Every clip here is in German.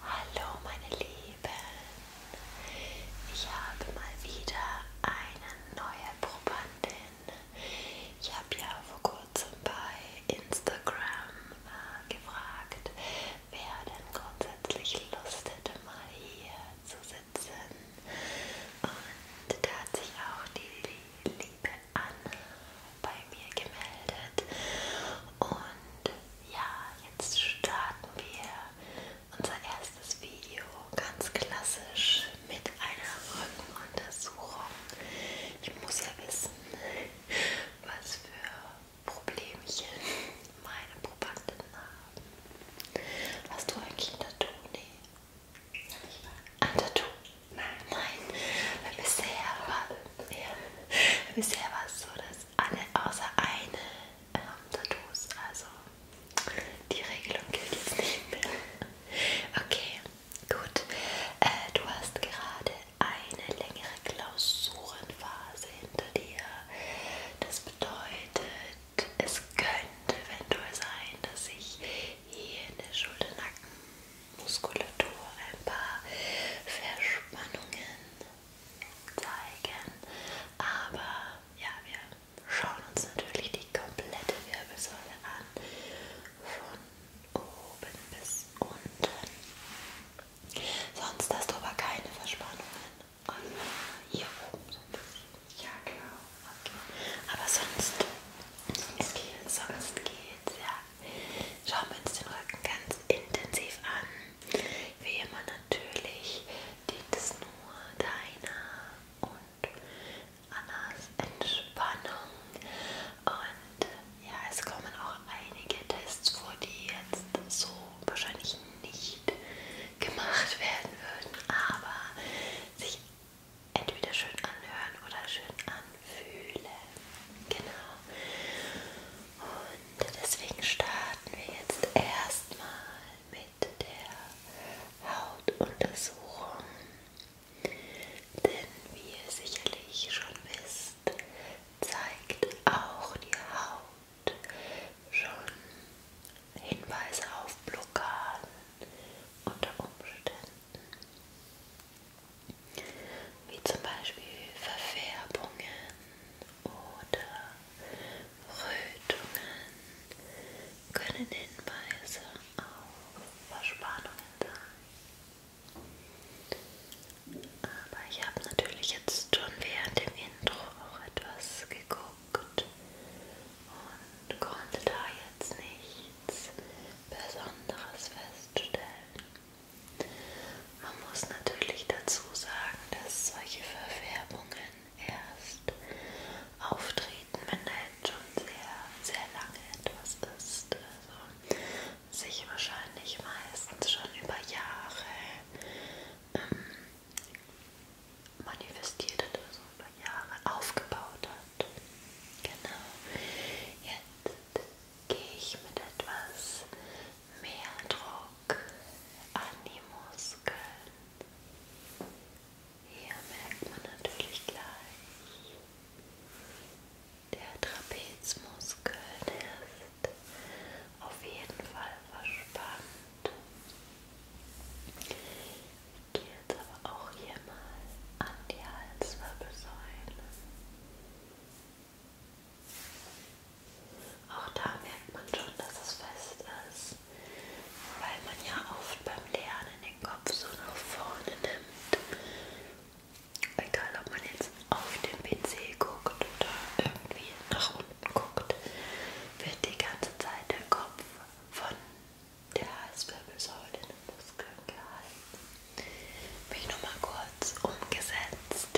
Hallo meine Lieben, ich habe mal wieder eine neue Probandin. Ich habe ja vor kurzem bei Instagram äh, gefragt, wer denn grundsätzlich Lust hätte, mal hier zu sitzen. Und da hat sich auch die liebe Anne bei mir gemeldet. Und ja, jetzt starten wir unser erstes Video ganz klassisch mit einer Rückenuntersuchung. Ich muss ja wissen, was für Problemchen meine Probanden haben. Hast du eigentlich ein Tattoo? Nee. Ein Tattoo? Nein. Nein. Weil bisher war ja. Bisher war es so, dass alle außer eine ähm, Tattoos, also die Regelung gilt jetzt nicht mehr. Okay, gut. Äh, du hast gerade eine längere Klausurenphase hinter dir. Das bedeutet, es könnte eventuell sein, dass sich hier in der Schulter, Nacken, Muskulatur ein paar Verspannungen zeigen. Aber ja, wir schauen uns natürlich die komplette Wirbelsäule an. Von oben bis unten. Sonst hast du aber keine Verspannungen. Und hier oben so ein bisschen. Ja, genau. Okay. Aber sonst, sonst es geht, sonst geht's, ja schauen wir uns den Rücken ganz intensiv an. Wie immer natürlich dient es nur deiner und Annas Entspannung. Und ja, es kommen auch einige Tests vor, die jetzt so wahrscheinlich nicht gemacht werden würden, aber sich entweder schön anhören oder schön an fühle. Genau. Und deswegen starten wir jetzt erstmal mit der Hautuntersuchung. Denn wie ihr sicherlich schon wisst, zeigt auch die Haut schon Hinweise auf Blockaden unter Umständen wie zum Beispiel Verfärbungen oder Rötungen können Hinweise auf Verspannungen sein. Aber ich habe natürlich jetzt schon während dem Intro auch etwas geguckt und konnte da jetzt nichts Besonderes feststellen. Man muss natürlich dazu sagen, dass solche Verfärbungen erst auftreten, wenn da jetzt schon sehr, sehr lange etwas ist. Also sich wahrscheinlich meistens schon über Jahre ähm, manifestiert hat, also über Jahre aufgebaut hat. Genau. Jetzt gehe ich mit etwas mehr Druck an die Muskeln. Hier merkt man natürlich gleich, der Trapezmuskel ist auf jeden Fall verspannt. Ich gehe jetzt aber auch hier mal an die Halswirbelsäule. Auch da merkt man schon, dass es fest ist, weil man ja oft beim Lernen den Kopf so nach vorne nimmt. Egal, ob man jetzt auf den PC guckt oder irgendwie nach unten guckt, wird die ganze Zeit der Kopf von der Halswirbelsäule in den Muskeln gehalten mich nochmal kurz umgesetzt,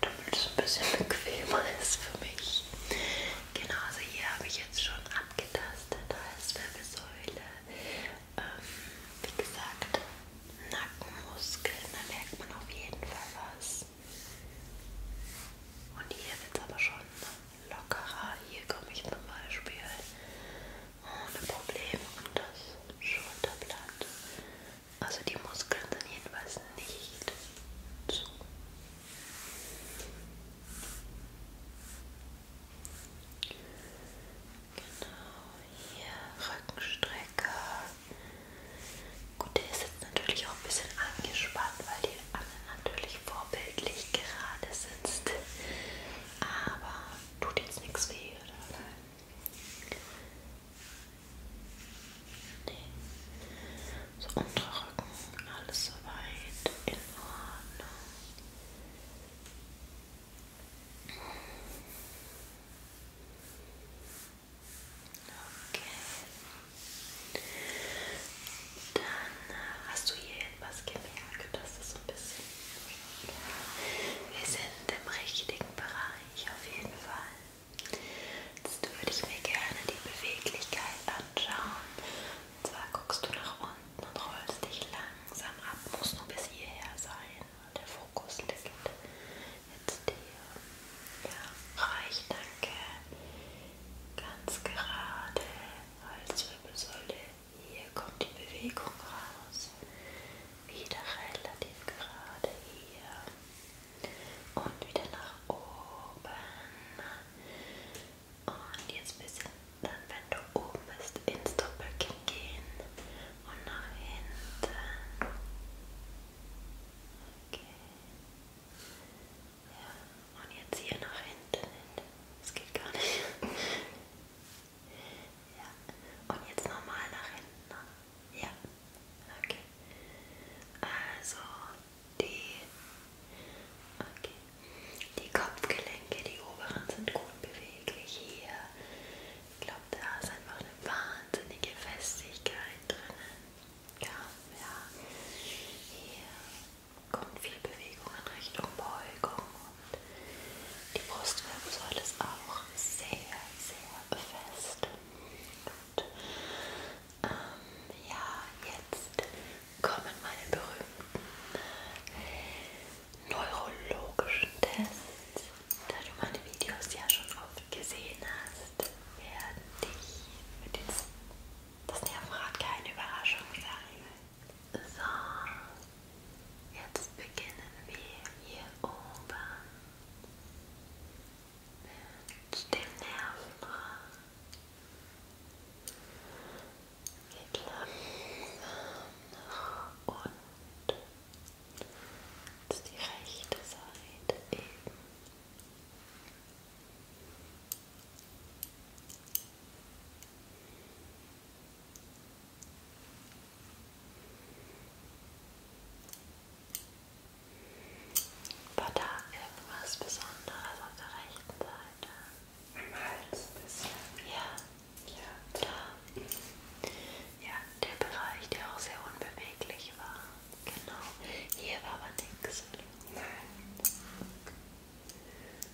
damit es ein bisschen bequemer ist für mich. Genau, also hier habe ich jetzt schon abgetastet, da ist Wirbelsäule, ähm, wie gesagt, Nackenmuskeln, da merkt man auf jeden Fall was. Und hier wird es aber schon lockerer. Hier komme ich zum Beispiel ohne Probleme um das Schulterblatt. Also die Muskeln sind jedenfalls nicht zu. Genau, hier Rückenstrecker. Gut, der ist jetzt natürlich auch ein bisschen angespannt, weil die Anne natürlich vorbildlich gerade sitzt. Aber Tut jetzt nichts weh, oder? Nee. So untere Rücken, alles soweit in Ordnung. Okay. Dann äh, hast du hier etwas gemerkt, dass es das so ein bisschen wir sind im richtigen Bereich auf jeden Fall. Jetzt würde ich mir gerne die Beweglichkeit anschauen. Und zwar guckst du nach unten und rollst dich langsam ab. Muss nur bis hierher sein. Der Fokus liegt jetzt hier. Ja, reich, danke. Ganz gerade. Halswirbelsäule hier kommt die Bewegung raus. Wieder relativ gerade hier. Und wieder nach oben. Und jetzt ein bisschen, dann wenn du oben bist, ins Doppelkinn gehen. Und nach hinten. Okay. Ja. Und jetzt hier nach hinten. Das geht gar nicht. Ja. Und jetzt nochmal nach hinten. Ne? Ja. Okay. Also die, okay. die Kopfgelenke, die oberen sind gut beweglich hier. Ich glaube, da ist einfach eine wahnsinnige Festigkeit drinnen. Ja, ja. Hier kommt viel Bewegung in Richtung Beugung und die Brustwirbelsäule ist auch sehr, sehr fest. Und ähm, ja, jetzt kommen meine berühmten neurologischen Tests. Da du meine Videos ja schon oft gesehen hast, werden dich mit diesen das Nervenrad keine Überraschung sein. So, jetzt beginnen wir hier oben mit dem Nervenraum. Geht langsam nach unten. Jetzt die rechte Seite eben. Und war da irgendwas Besonderes auf der rechten Seite? Am Hals ein bisschen. Ja. Ja. Da. Ja, der Bereich, der auch sehr unbeweglich war. Genau. Hier war aber nichts. Nein.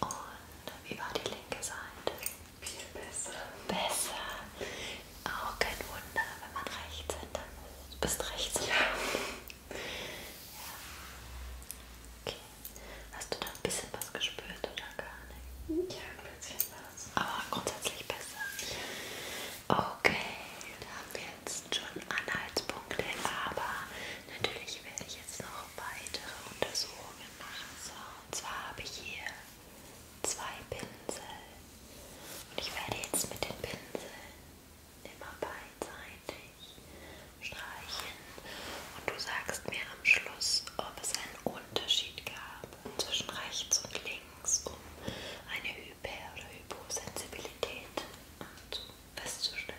Und wie war die linke Seite? Viel besser. Besser. Auch kein Wunder, wenn man rechts hinter bist rechts. Ja. ja. Okay. Hast du da ein bisschen was gespürt oder gar nicht? Ja, ein bisschen was. Aber grundsätzlich besser. Okay, da haben wir jetzt schon Anhaltspunkte, aber natürlich werde ich jetzt noch weitere Untersuchungen machen. So, und zwar habe ich hier zwei Pinsel und ich werde jetzt mit den Pinseln immer beidseitig streichen und du sagst mir am Schluss, ob es einen Unterschied gab zwischen rechts und links, um eine Hyper- oder Hyposensibilität festzustellen.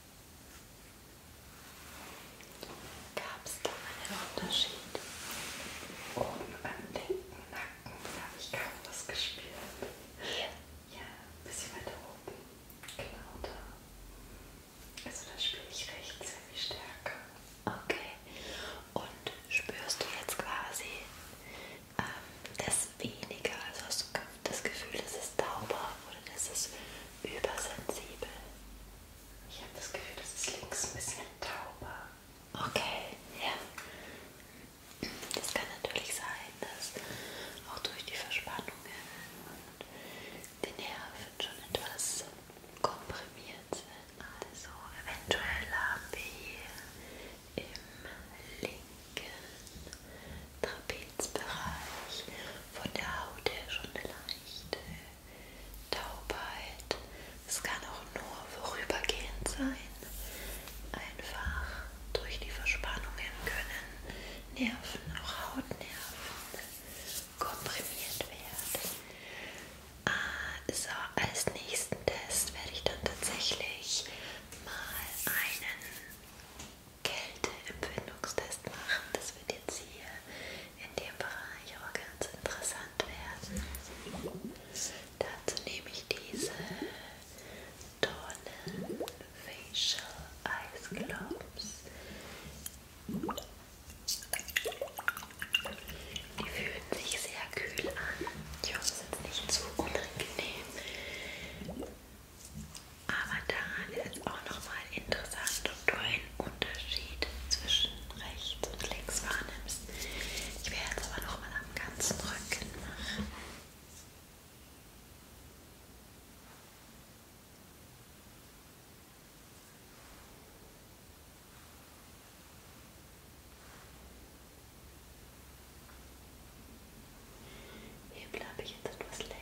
Gab es da einen Unterschied? Oben am linken Nacken habe ich kaum was gespürt. Hier? Ja, ein bisschen weiter oben. Genau da. Also da spüre ich rechts sehr viel stärker. Okay. Und spürst du jetzt quasi ähm, das weniger? Also hast du das Gefühl, das ist tauber oder das ist übersensibel. Ich habe das Gefühl, das ist links ein bisschen tauber. Okay, ja. Das kann natürlich sein, dass auch durch die Verspannungen die Nerven schon etwas komprimiert sind. Also eventuell haben wir hier im linken Trapezbereich von der Haut her schon eine leichte Taubheit. Es kann auch nur vorübergehend sein. Einfach durch die Verspannungen können Nerven, auch Hautnerven, komprimiert werden. Ah, so, als nächsten Test werde ich dann tatsächlich mal einen Kälteempfindungstest machen. Das wird jetzt hier in dem Bereich aber ganz interessant werden. Dazu nehme ich diese Tonnen Facial Ice Globes. Die fühlen sich sehr kühl an. Ich hoffe, es ist nicht zu unangenehm. Aber daran ist auch nochmal interessant, ob du einen Unterschied zwischen rechts und links wahrnimmst. Ich werde jetzt aber nochmal am ganzen Rücken machen. Hier bleibe ich jetzt etwas länger.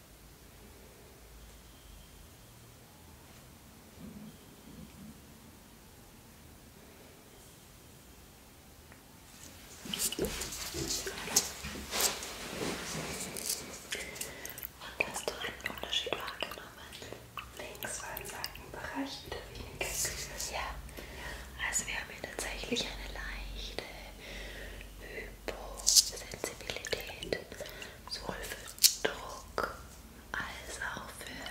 Und hast du einen Unterschied wahrgenommen? Links war im Seitenbereich wieder weniger Kühl. Ja, also wir haben hier tatsächlich eine leichte Hyposensibilität sowohl für Druck als auch für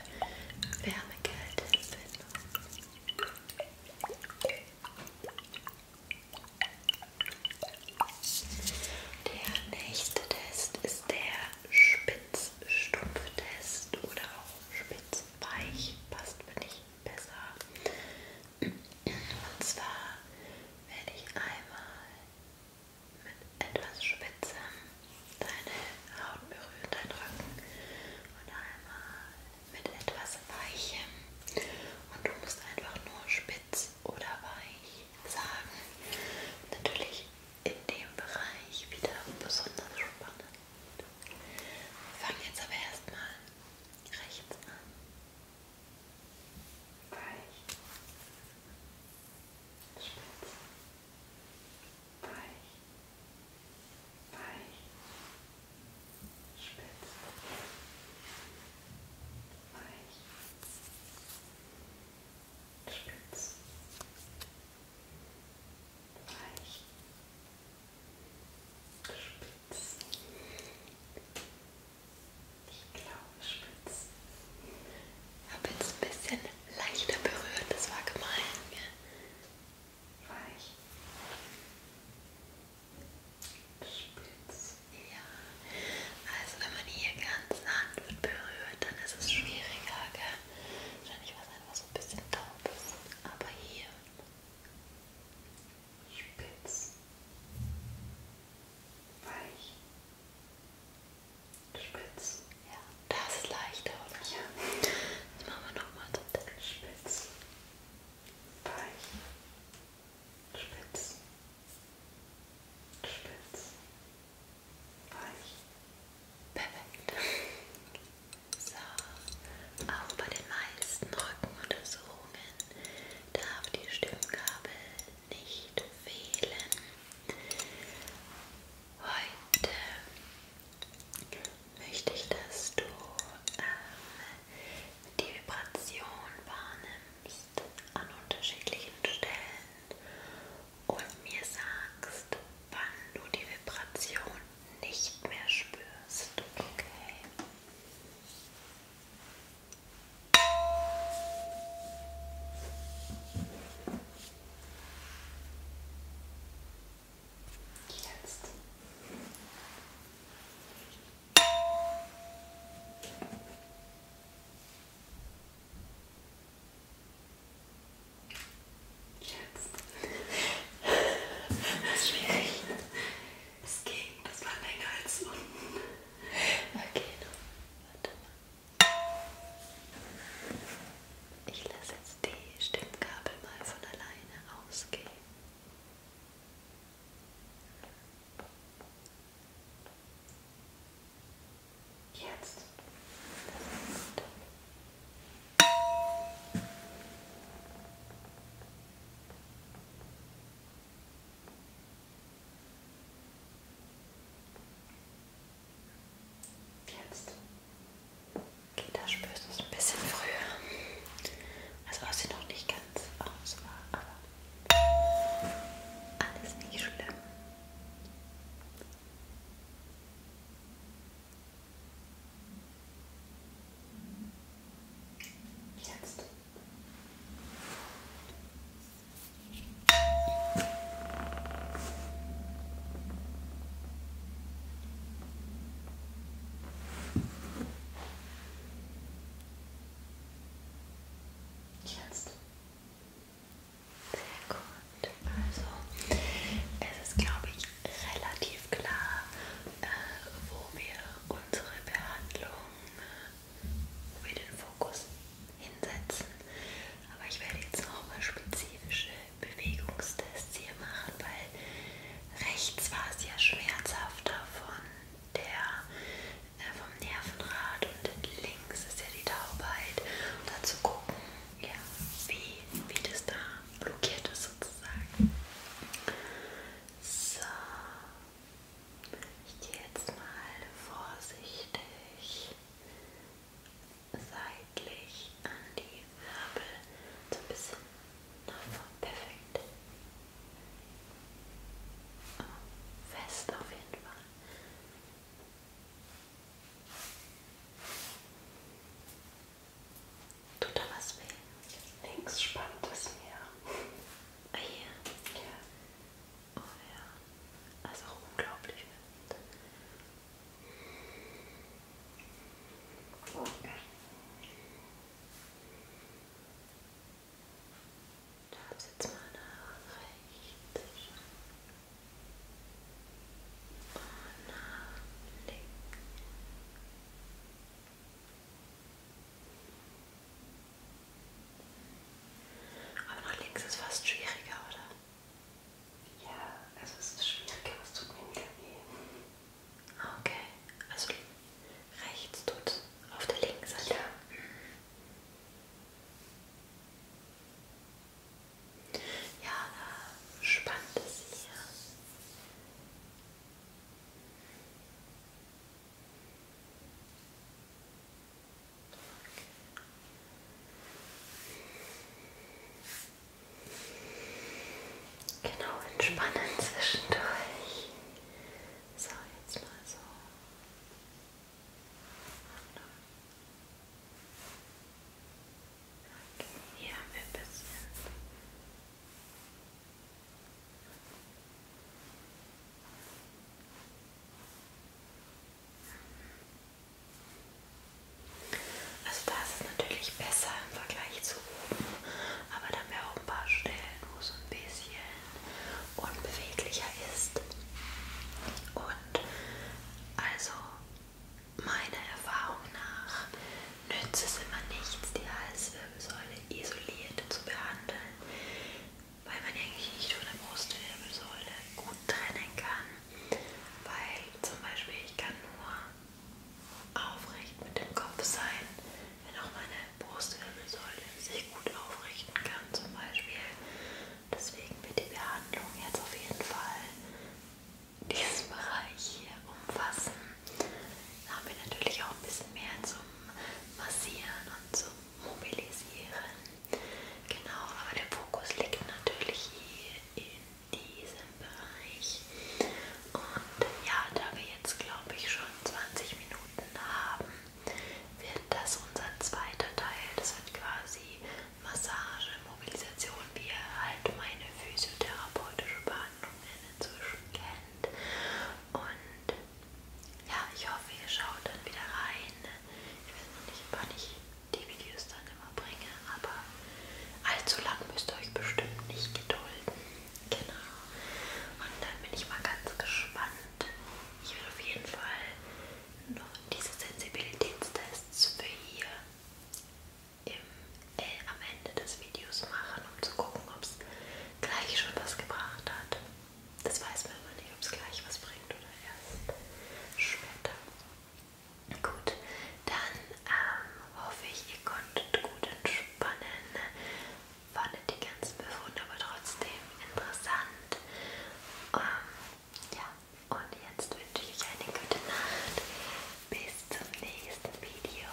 Wärme, Kälte, Der nächste Test ist der Spitzstumpftest oder auch Spitzweich, passt mir nicht besser. Und zwar werde ich einmal mit etwas Spitzem deine Haut berühren, deinen Rücken und einmal mit etwas Weichem. Und du musst einfach nur spitz oder weich sagen. Natürlich in dem Bereich wieder besonders spannend. Wir fangen jetzt aber erstmal rechts an weich, spitz, weich, weich, spitz, weich, spitz, weich, spitz. Weich, die Klaue spitz. Ich habe jetzt ein bisschen leichter berührt, das war gemein. Ja. Weich. Spitz. Ja. Also wenn man hier ganz sanft berührt, dann ist es schwieriger, gell? Wahrscheinlich was einfach so ein bisschen taub ist. Aber hier. Spitz. Weich. Spitz. Ja, das ist leichter, oder? Ja. Jetzt machen wir nochmal so. Spitz. Weich. Spitz. Spitz. Weich. Perfekt. So, auch bei den meisten Rückenuntersuchungen darf die Stimmgabel nicht fehlen. Heute möchte ich, dass du ähm, die Vibration wahrnimmst an unterschiedlichen Stellen und mir sagst, wann du die Vibration nicht mehr spürst. Okay. Jetzt. Jetzt. Das ist schwierig. Das ging, das war länger als unten. Okay, warte mal. Ich lasse jetzt die Stimmkabel mal von alleine ausgehen. Jetzt. Das Jetzt. Da spürst du es ein bisschen früher. Also aus sie noch nicht ganz aus war, aber alles nicht schlimm. Jetzt. Jetzt. Sehr gut. Also, es ist, glaube ich, relativ klar, äh, wo wir unsere Behandlung wo wir den Fokus hinsetzen. Aber ich werde jetzt nochmal spezifische Bewegungstests hier machen, weil rechts war es ja schmerzhafter von der, äh, vom Nervenrad und links ist ja die Taubheit. Und dazu gucken, ja, wie, wie das da blockiert ist sozusagen. So. Ich gehe jetzt mal vorsichtig seitlich an die Wirbel, so ein bisschen nach vorne. Perfekt. Oh, fest auf jeden Fall. Tut da was weh? Links spannt es mir. Hier? Ja. Oh ja. Das ist auch unglaublich. Da ist jetzt mal nach rechts. Und nach links. Aber nach links ist fast schwieriger, oder? Ja, also es ist schwieriger, es tut mir wieder weh. Okay, also rechts tut auf der linken Seite. Ja. Ja, da spannt es hier. Genau, entspannen zwischendurch. So, jetzt mal so. Okay, hier haben wir ein bisschen. Also da ist es natürlich besser im Vergleich zu oben, aber da haben wir auch ein paar Stellen, wo es ein bisschen unbeweglicher ist. Und also meiner Erfahrung nach nützt es immer nichts, die Halswirbelsäule äh, Wirbelsäule isoliert zu behandeln, weil man eigentlich nicht von der Brustwirbelsäule gut trennen kann, weil zum Beispiel ich kann nur aufrecht mit dem Kopf sein, wenn auch meine Brustwirbelsäule sich gut aufrichten kann zum Beispiel. Deswegen wird die Behandlung jetzt auf jeden Fall diesen Bereich hier umfassen. Da haben wir natürlich auch ein bisschen mehr zum Massieren und zum Mobilisieren. Genau, aber der Fokus liegt natürlich hier in diesem Bereich. Und ja, da wir jetzt glaube ich schon 20 Minuten haben, wird das unser zweiter Teil. Das wird quasi Massage, Mobilisation, wie ihr halt meine physiotherapeutische Behandlung inzwischen kennt. Und ja, ich hoffe, ihr schaut dann wieder rein. Ich weiß noch nicht, wann ich die Videos dann immer bringe, aber allzu lang müsst ihr euch bestimmt nicht gedulden. Genau. Und dann bin ich mal ganz gespannt. Ich will auf jeden Fall noch diese Sensibilitätstests für hier im, äh, am Ende des Videos machen, um zu gucken, ob es gleich schon was gebracht hat. Das weiß man immer nicht, ob es gleich was bringt oder erst später. Gut, dann ähm, hoffe ich, ihr konntet gut entspannen. Fandet die ganzen Befunde aber trotzdem interessant. Ähm, ja, und jetzt wünsche ich euch eine gute Nacht. Bis zum nächsten Video.